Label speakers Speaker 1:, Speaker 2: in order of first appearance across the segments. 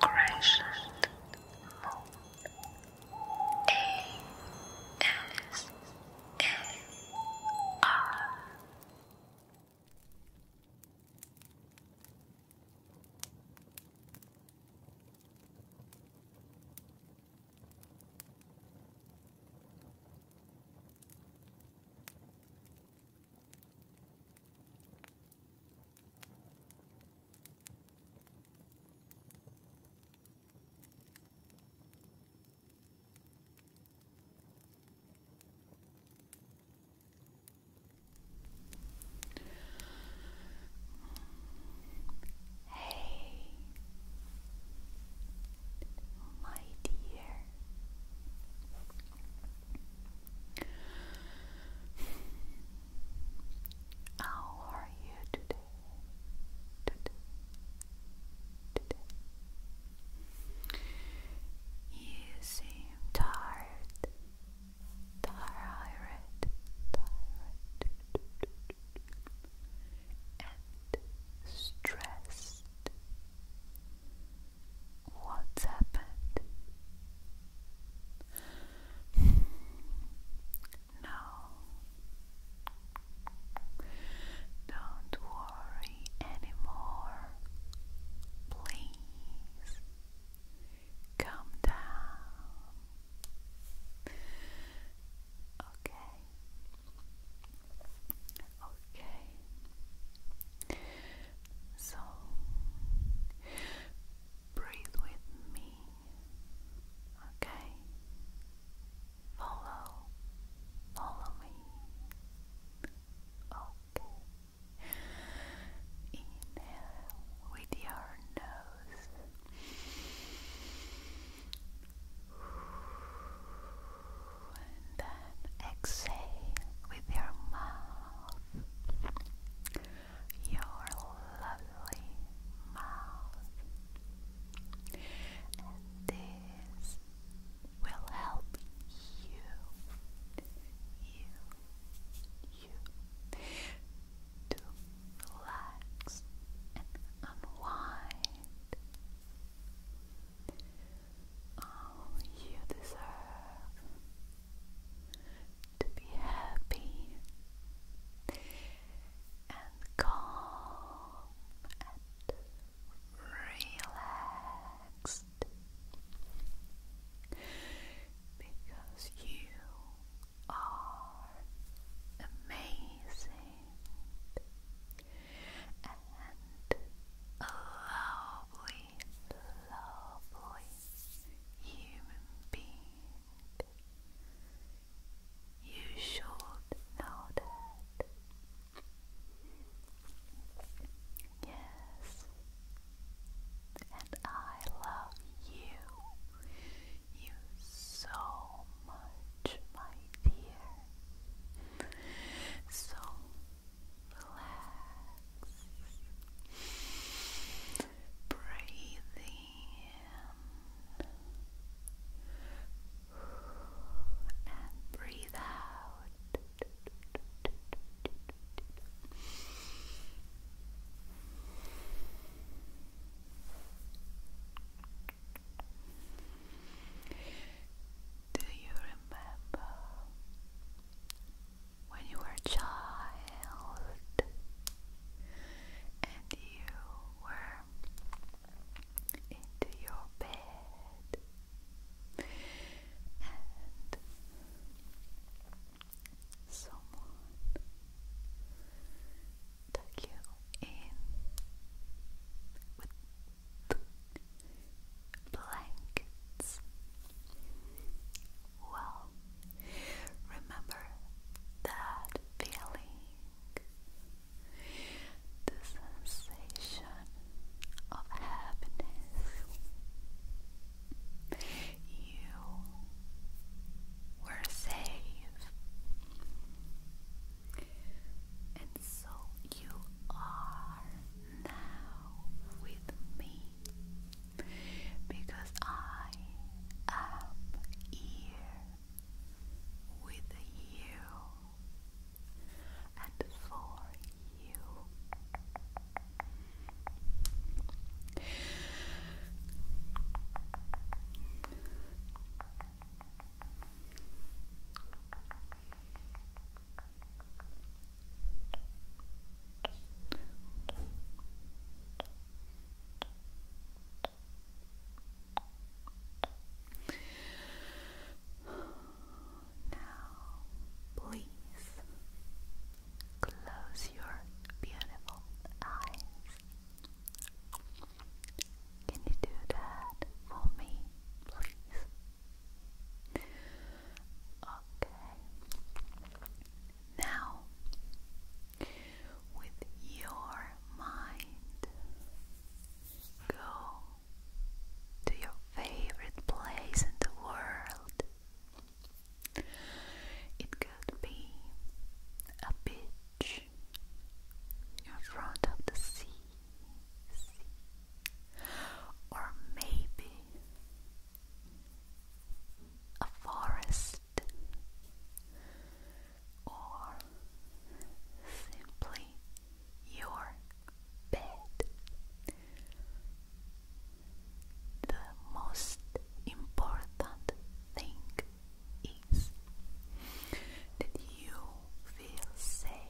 Speaker 1: Crescent Moon Hey, my dear, how are you today? You seem tired, tired, and stressed. What's happened? No. Don't worry anymore. Please calm down. Okay. Okay. So breathe with me, okay? Follow, follow me, okay? Inhale with your nose and then exhale with your mouth, your lovely mouth, and this will help you, you, you to relax and unwind. Oh, you deserve to be happy and calm and relaxed because you are amazing and lovely, lovely human being. You should know that. Yes, and I love you, you so much, my dear. So Relax. Breathe in and breathe out. Do you remember when you were a child and you were into your bed and someone took you in with blankets. Well, remember that feeling, the sensation of happiness. You were safe, and so you are now with me because I am here with you and for you. Now, please close your beautiful eyes. Can you do that for me, please? Okay. Now, with your mind, go to your favorite place in the world. It could be a beach in front of the sea sea, or maybe a forest, or simply your bed. The most important thing is that you feel safe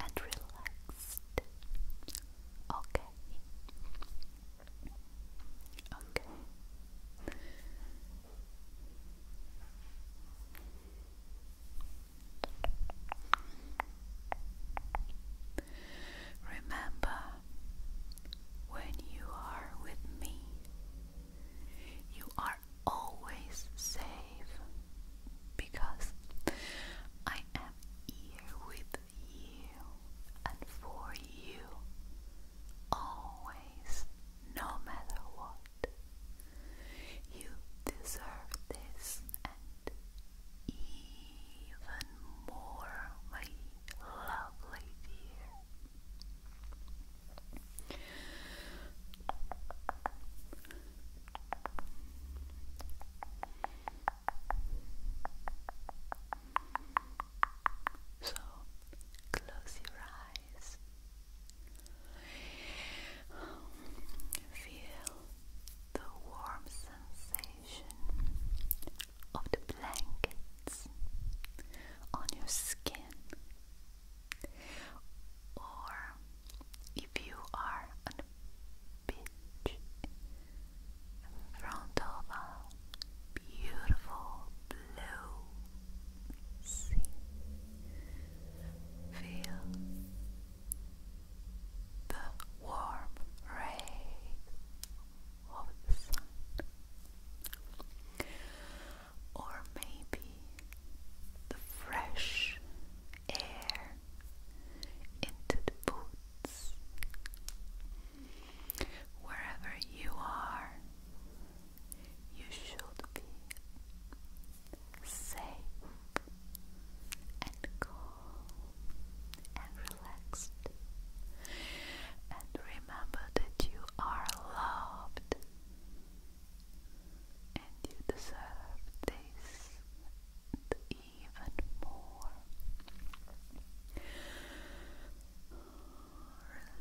Speaker 1: and relaxed. Okay. Okay. Remember, when you are with me, you are always safe because I am here with you and for you always, no matter what. You deserve this and even more, my lovely dear. So close your eyes. Feel the warm sensation of the blankets on your skin. Or if you are on a beach in front beautiful blue sea, feel the warm ray of the sun or maybe the fresh air into the boots. Wherever you are, you should be safe and calm and relaxed. And remember that you are loved and you deserve this even more.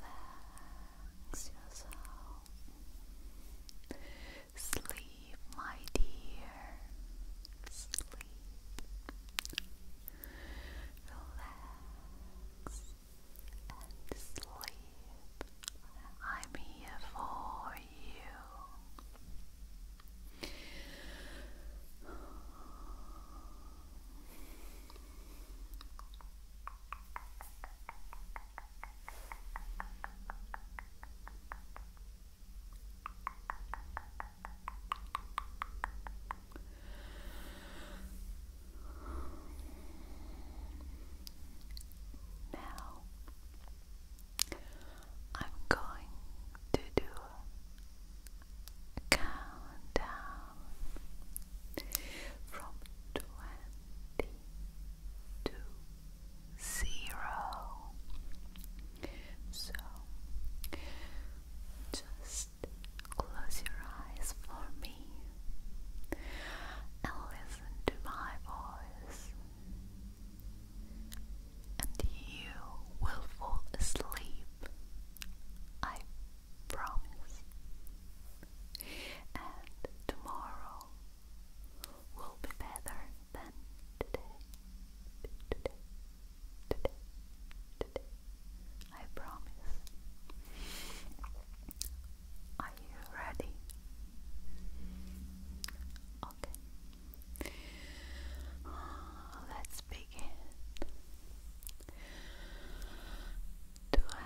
Speaker 1: Relax yourself. Sleep, my dear. Sleep. Relax and sleep. I'm here for you. Now I'm going to do a countdown from twenty to zero. So just close your eyes for me and listen to my voice, and you will fall asleep. I promise. And tomorrow will be better than today. Today, today, today. I promise. Are you ready? Okay. Let's begin. Twenty.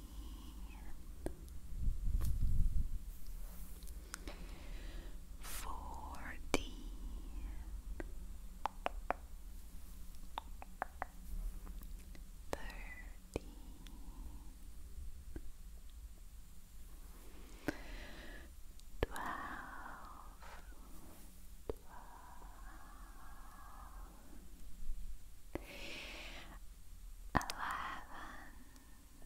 Speaker 1: fourteen, thirteen, twelve, twelve, eleven. Then nine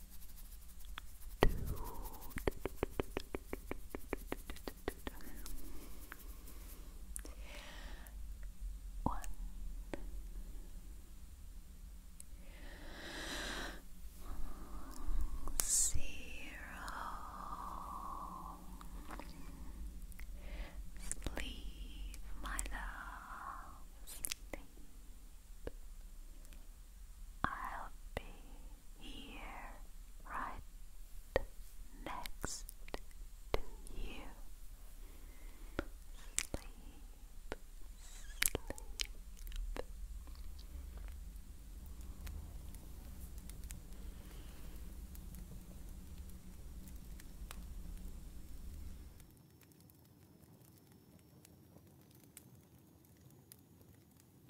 Speaker 1: One. Zero. Sleep, my love. Sleep. I'll be here, right next to you. Sleep, sleep.